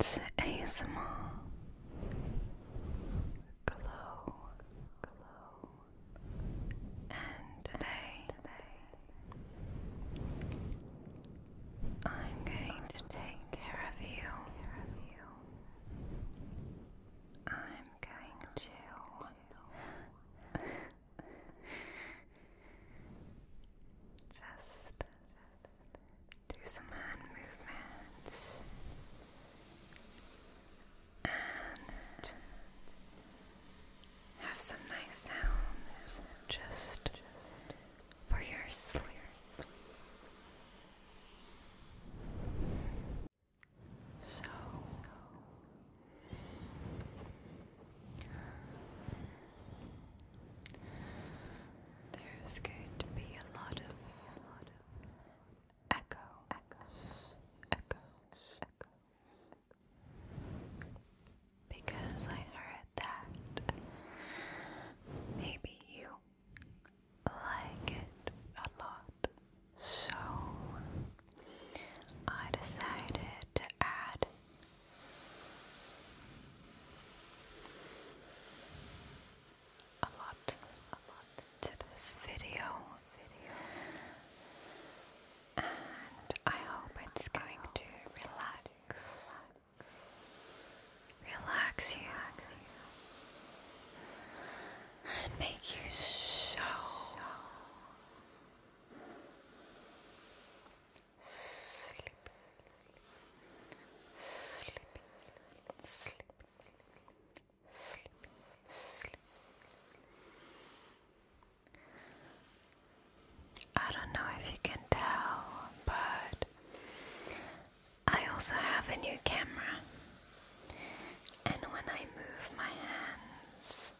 It's ASMR. Glow, and today, I'm going to take care of you. I'm going to. Just do some hand movements and have some nice sounds. Just for your sleep. So, there's going to be a lot of echo, echoes, echoes, echoes, because I heard that, maybe you like it a lot. So I decided to add a lot, a lot to this video, and I hope it's going to relax relax you, relax you. and make you so, so sleepy, sleepy, sleepy, sleepy, sleepy. I don't know if you can tell, but I also have a new camera, and when I move my hands,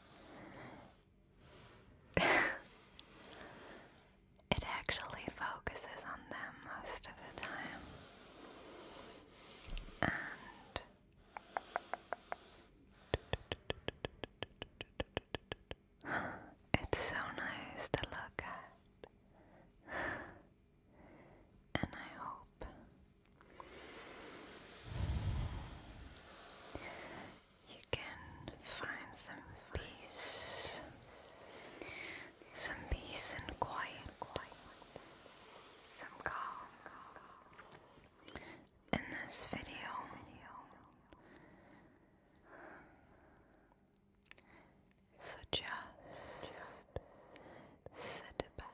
it actually focuses on them most of the time. It's so nice to look at. And I hope you can find some peace, some peace and quiet, some calm in this video. So just sit back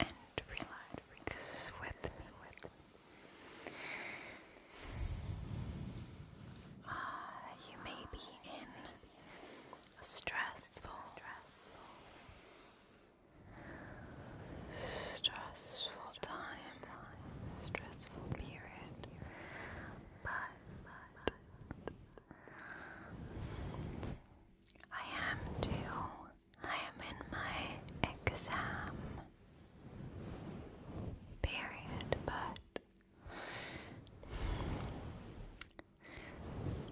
and relax with me. With me. Ah, you may be in stressful, stressful time stressful period, but I am too. I am in my exam period, but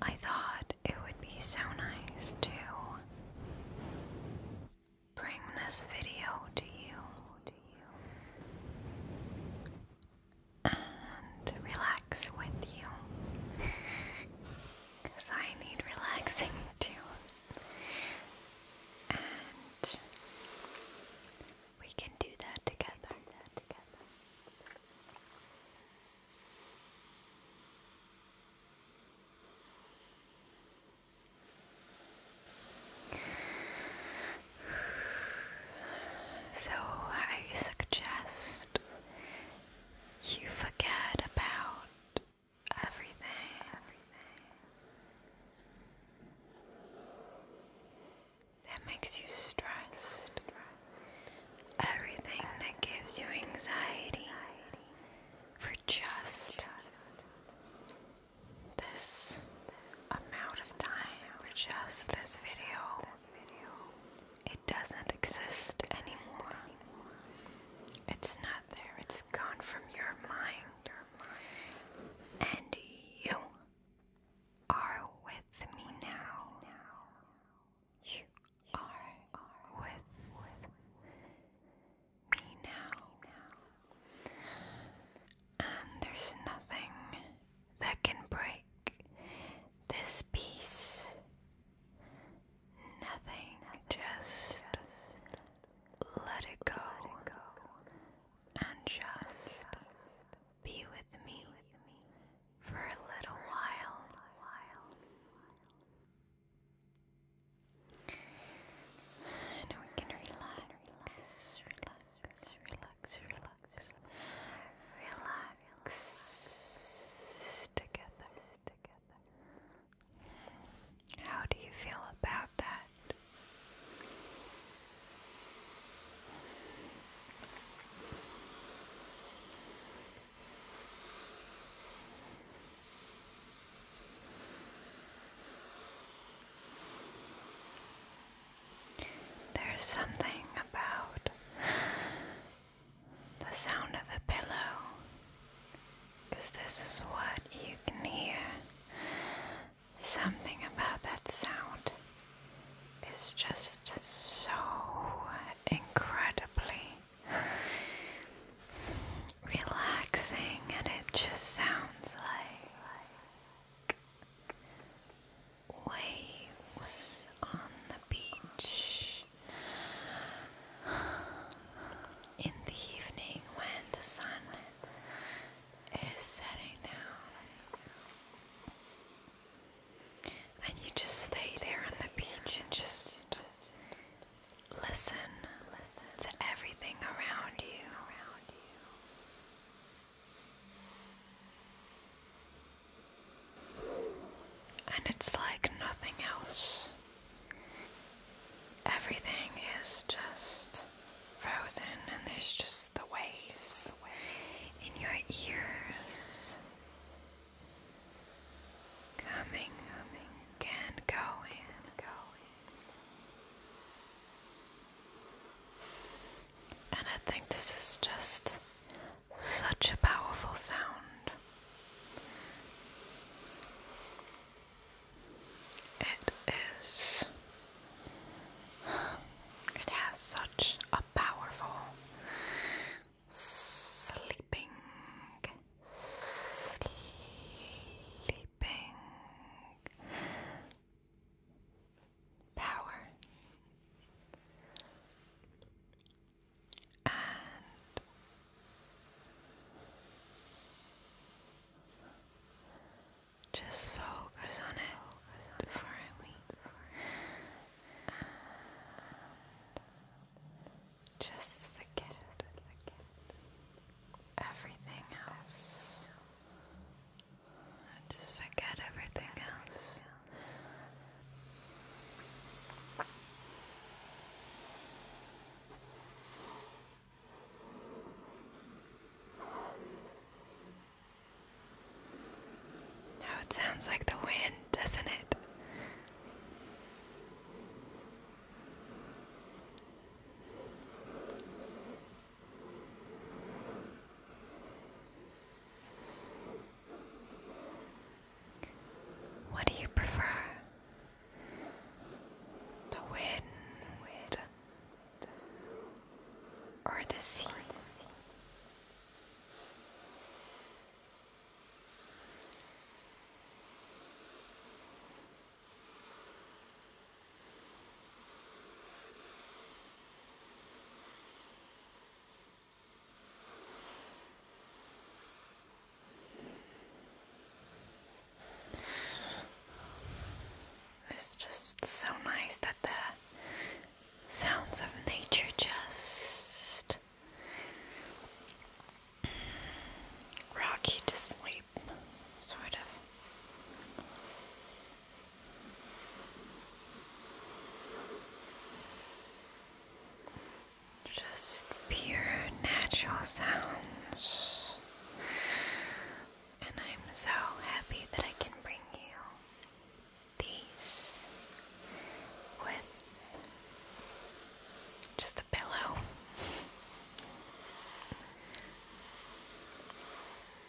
I thought it would be so nice to bring this video to you, and relax with you because I need relaxing too. And we can do That together. So I suggest you forget about everything. That makes you stressed. Everything that gives you anxiety for just this amount of time for just this video. It doesn't exist anymore. It's not there. It's gone from your mind. And you are with me now. You are with me now. And there's nothing that can break this peace. Nothing, just let it go and just be with me for a little while. And we can relax, relax, relax, relax together, How do you feel about that? There's something about the sound of a pillow, this is what you can hear. Something about that sound is just so incredibly relaxing, and it just sounds like was on the beach. In the evening, when the sun is setting down, and you just stay there on the beach and just listen, listen to everything around you. Around you. And it's like nothing else. Everything is just frozen, and there's just the waves in your ears coming, coming, and going, going. And I think this is just such a powerful sound. It is. It has such a powerful sleeping, sleeping, power and just focus on it for a week. And just forget everything else. Just forget everything else. Oh, it sounds like the wind, doesn't it? What do you prefer? The wind or the sea? It's just so nice that the sounds of nature just rock you to sleep, sort of. Just pure natural sounds. And I'm so happy that I can bring you these with just a pillow.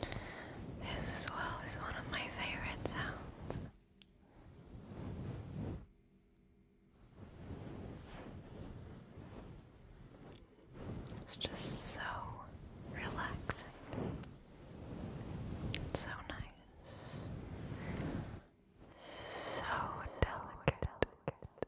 This as well is one of my favorite sounds. It's just so relaxing. So nice. So delicate.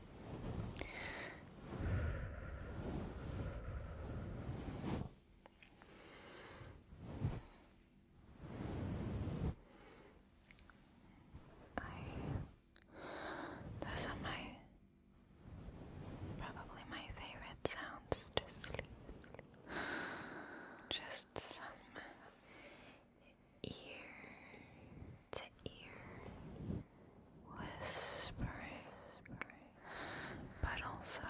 I, those are my probably my favorite sounds to sleep. Just some ear to ear whispering, but also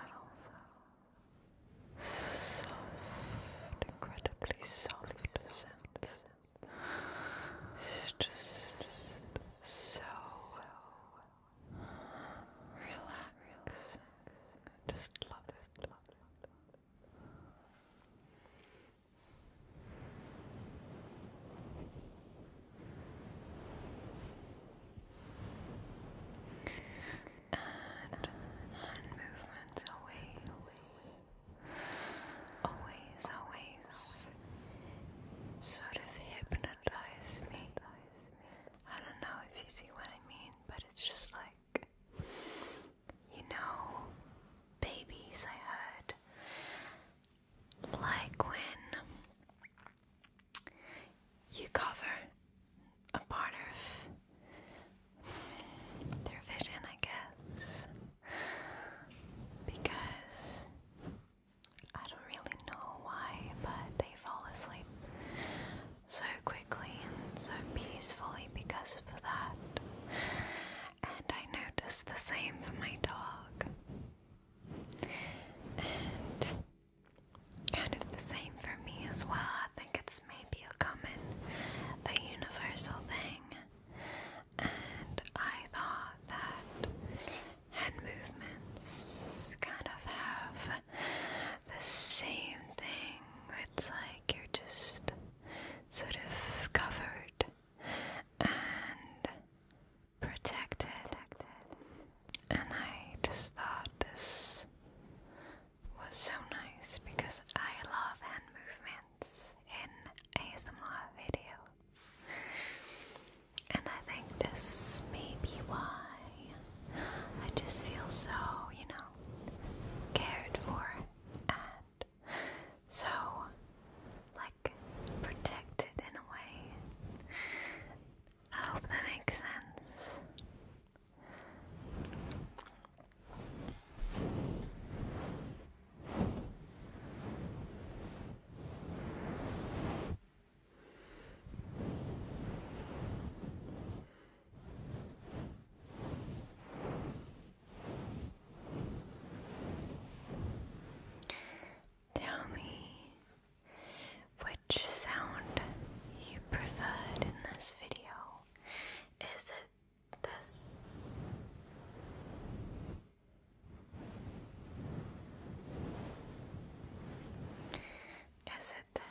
soft, incredibly soft sounds. just so relaxing. I just love it. Love it. Love it and hand movements always, always, always sort of hypnotize me. I don't know if you see what I mean, but it's just like, you know, babies I had like when you cover a part of their vision, I guess, because I don't really know why, but they fall asleep so quickly and so peacefully because of that. And I noticed the same for my dog. And kind of the same for me as well. I think it's maybe a common, a universal thing. And I thought that hand movements kind of have the same thing. It's like you're just sort of covered and protected. And I just thought this was so nice because I love hand movements in ASMR videos. And I think this may be why I just feel so, you know, cared for and so like protected in a way. I hope that makes sense. Tell me which sound you preferred in this video. Is it this? Is it this?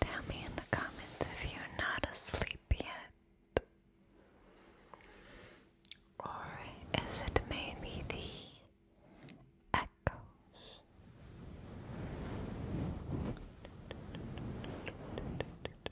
Tell me in the comments if you're not asleep yet. Or is it maybe the echoes?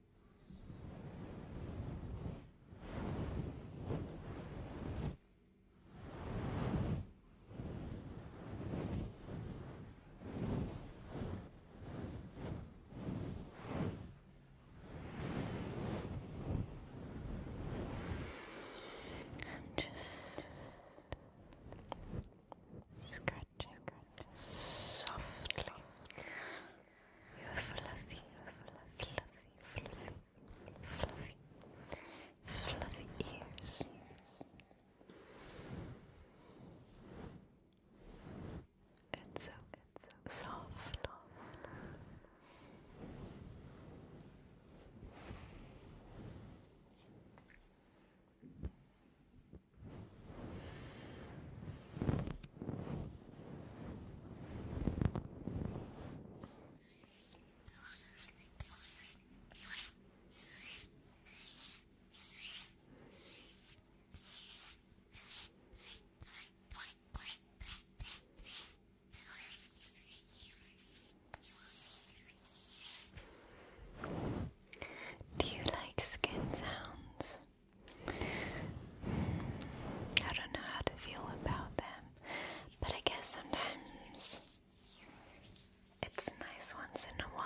I'm just scratching softly you're fluffy, fluffy, fluffy, fluffy, fluffy ears. It's so, it's so Soft. Do you like skin sounds? I don't know how to feel about them, but I guess sometimes it's nice once in a while.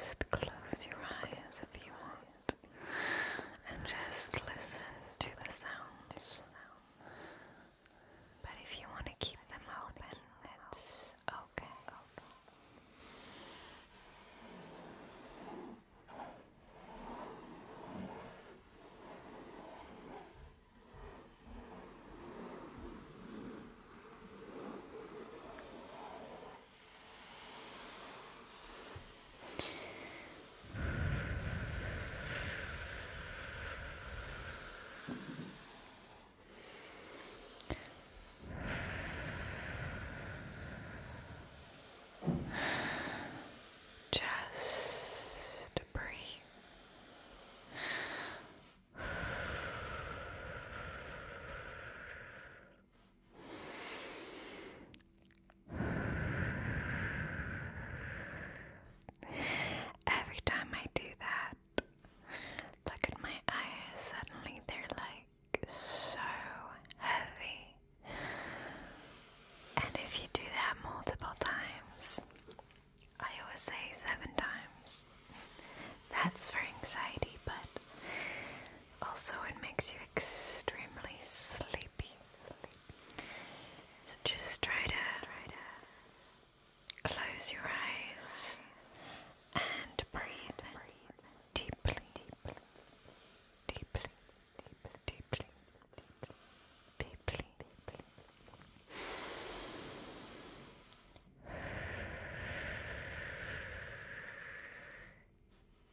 Just close your eyes if you want and just listen to the sounds. But if you want to keep them open, it's okay. Just to breathe. Every time I do that, look at my eyes, suddenly they're like so heavy. And if you do that multiple times, I always say seven times, that's for anxiety, but also it makes you extremely sleepy. sleepy. So just try to close your eyes and breathe deeply, deeply, deeply, deeply, deeply, deeply.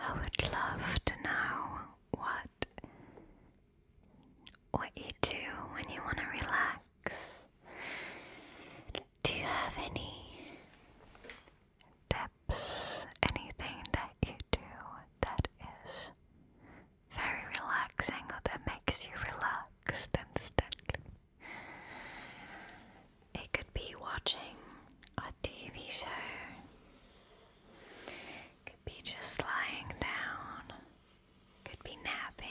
I would love to know what what you do when you want to relax. Do you have any tips, anything that you do that is very relaxing or that makes you relaxed instantly. It could be watching a TV show, it could be just lying down, it could be napping.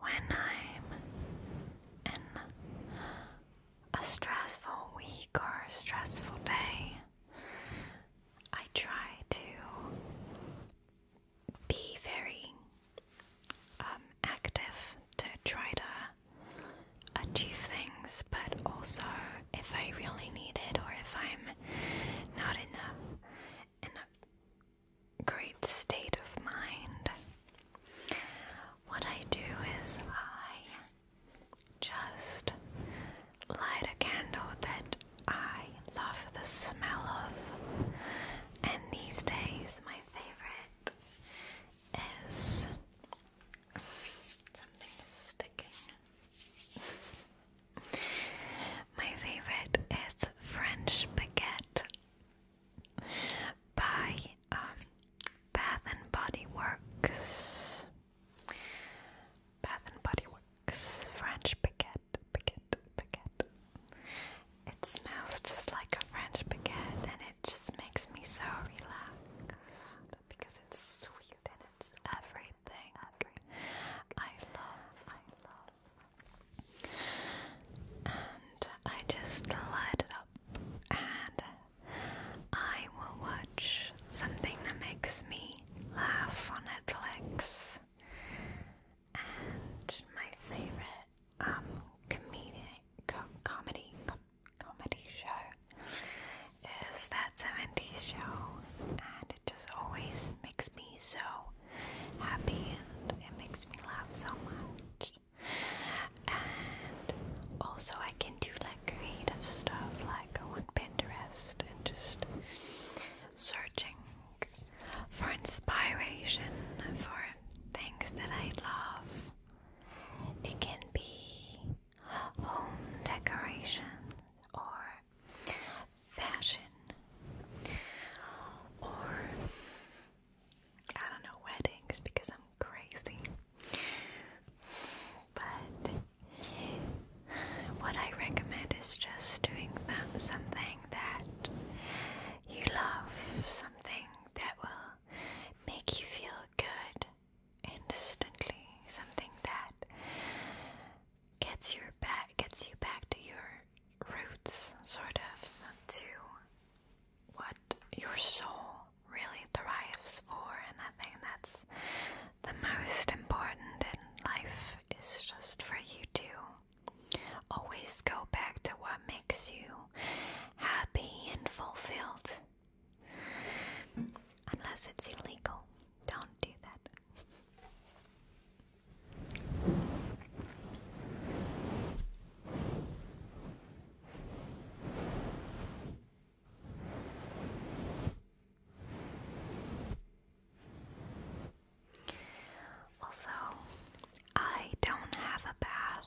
When I'm in a stressful week or stressful day, I try to be very um, active to try to achieve things, but also if I really need it or if I'm not in a, in a great state of mind, what I do is I just light a candle that I love the smell of, and these days my favorite is my favorite is French baguette by um, Bath and Body Works. Bath and Body Works French baguette, baguette, baguette. It smells just like a French baguette, and it just makes me so relaxed because it's sweet and it's everything. everything. I love, I love. And I just light it up and I will watch something that makes me laugh on Netflix. And my favorite um comedy comedy comedy show is that 70s show, and it just always makes me so happy and it makes me laugh so much. And also, I can do like creative stuff like go on Pinterest and just searching for inspiration for things that I love. It can be home decorations or fashion or I don't know weddings because I'm crazy. But yeah, what I recommend is just doing that, something that you love, something that will make you feel good instantly, something that gets your back gets you back to your roots, sort of to what your soul really thrives for, and I think that's the most important in life is just for you to always go back to what makes you happy and fulfilled Unless it's illegal, don't do that. Also, I don't have a bath,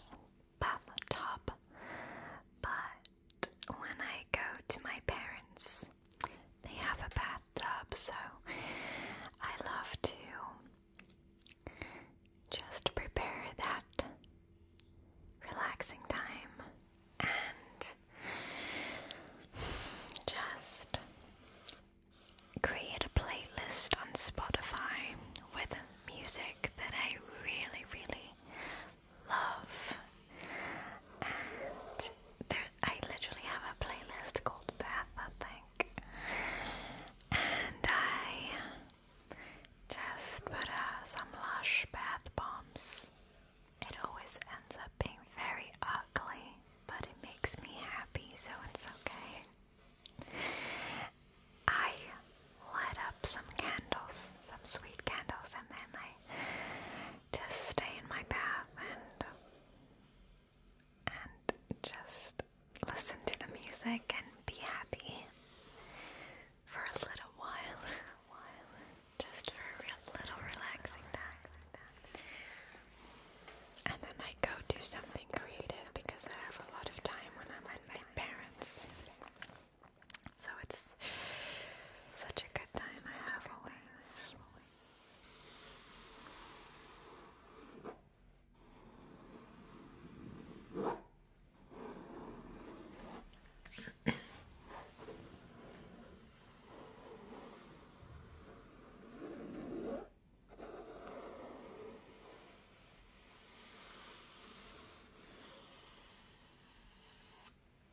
bath top, but when I go to my parents. They have a bathtub, so I love to just prepare that relaxing time and just create a playlist on Spotify with music that I really, really love. And I literally have a playlist called Bath, I think. And I just put uh, some lush bath bombs. It always ends up being very ugly, but it makes me happy, so it's okay. I light up some candles, some sweet candles, and then I just stay in my bath and and just listen to the music and be happy for a little while, while just for a little relaxing time. And then I go do something creative because I have a lot of time when I'm with my parents. So it's such a good time I have always.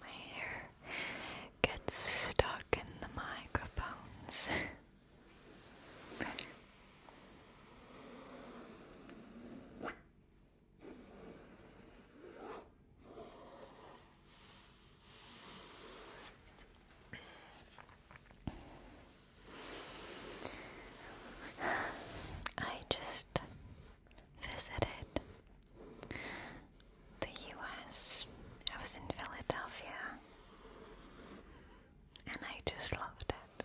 My hair gets stuck in the microphones. I just visited the US. I was in Philadelphia and I just loved it.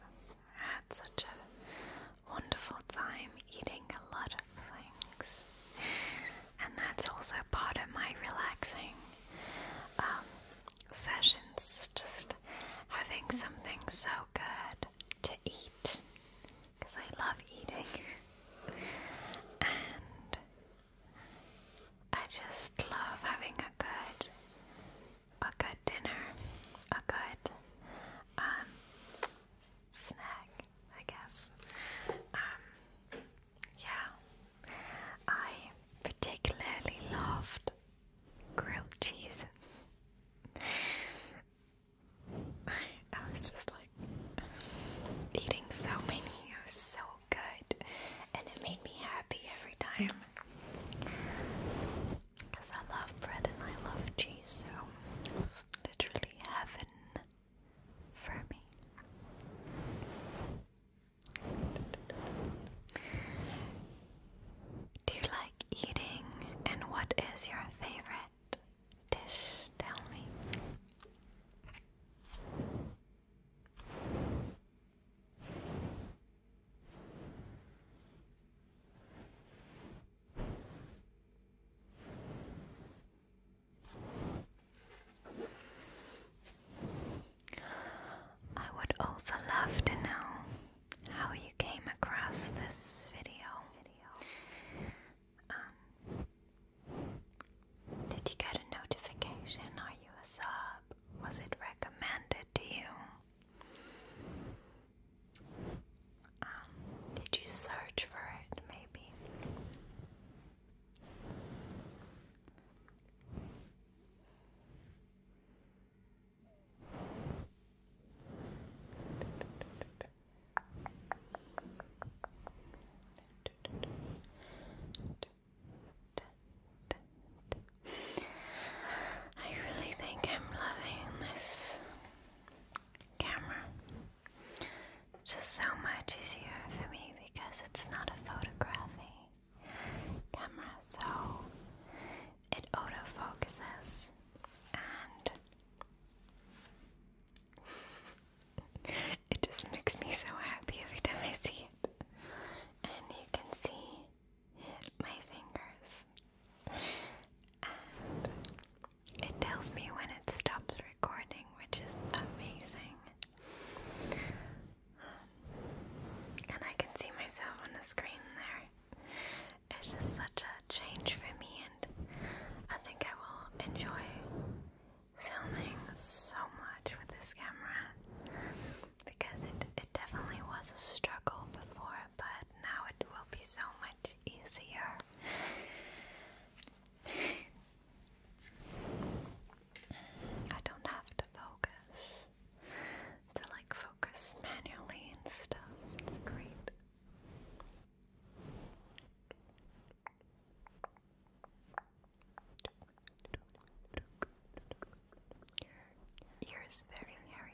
I had such a wonderful time eating a lot lot And that's also part of my relaxing um, sessions, just having something so good to eat because I love eating. and I just love having a good a good dinner, a good um, snack, I guess. Um, yeah, I particularly loved grilled cheese. I was just like eating so many, it was so good, and it made me happy every time. Because I love bread and I love cheese, so it's literally heaven for me. Do you like eating? And what is your favorite dish? Tell me. I would also love to know how you came across this video. Um, did you get a notification? Are you a sub? Was it recommended to you? Um, did you search for it maybe? I really think I'm loving this camera just so much easier for me because it's not a photography camera, so it autofocuses and it just makes me so happy every time I see it. And you can see my fingers. And it tells me when it stops recording, which is amazing and I can see myself on the screen there. It's just such a change for me, and I think I will enjoy filming so much with this camera because it, it definitely was a struggle before, but now it will be so much easier. I don't have to focus, to like focus manually and stuff. It's great. Ears ear very hairy.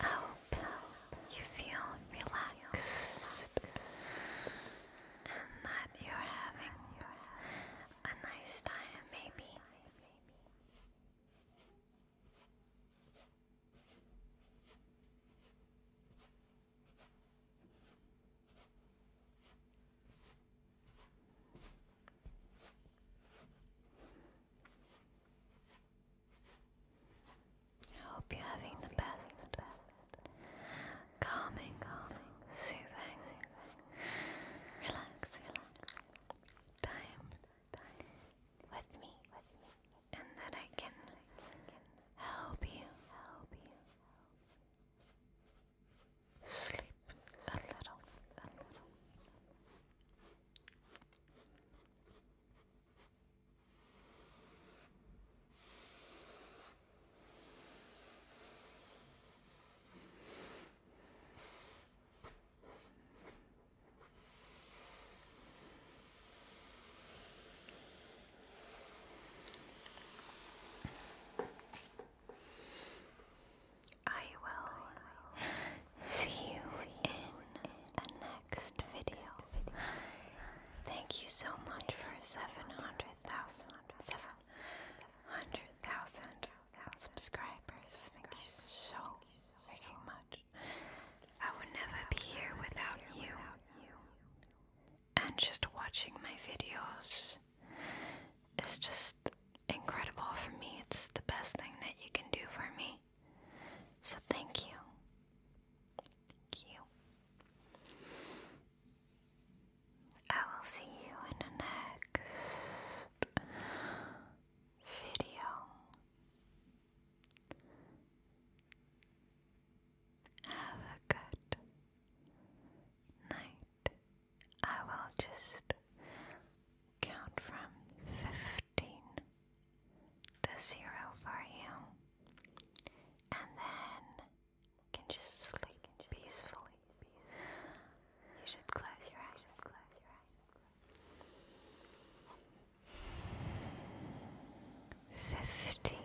I hope you feel relaxed and that you're having a nice time, maybe. I hope you're having the best, calming, calming, soothing, relaxing time with me, and that I can help you sleep A little. I will see you in the next video. Thank you so much for 700,000 subscribers. Thank you so much. I would never be here without you. And just watching my videos is just incredible for me. It's the best thing that you can do for me. So thank you. Thank you. I will see you in the next video. Have a good night. I will just count from fifteen the zero for you, and then can just sleep peacefully. You should close your eyes. Close your eyes. Fifty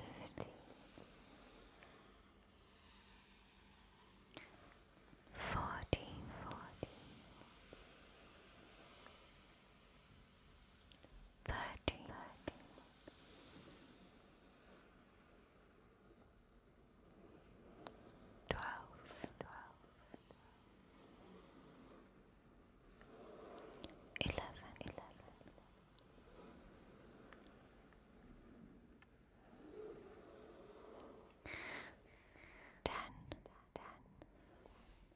thirteen, twelve, twelve, eleven, eleven, ten, ten.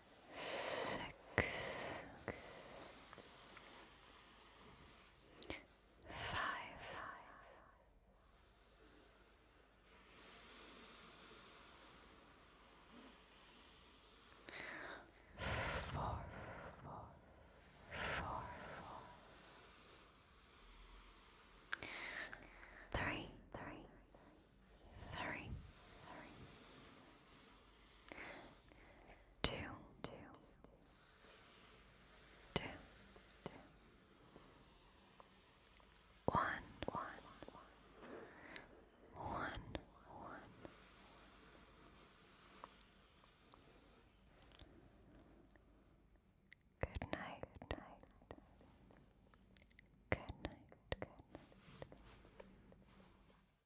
six, five, four, four, four, four. Three, three, three, three two, two, two, two, one, one, one, one, one. Good night, good night. Good night, good night.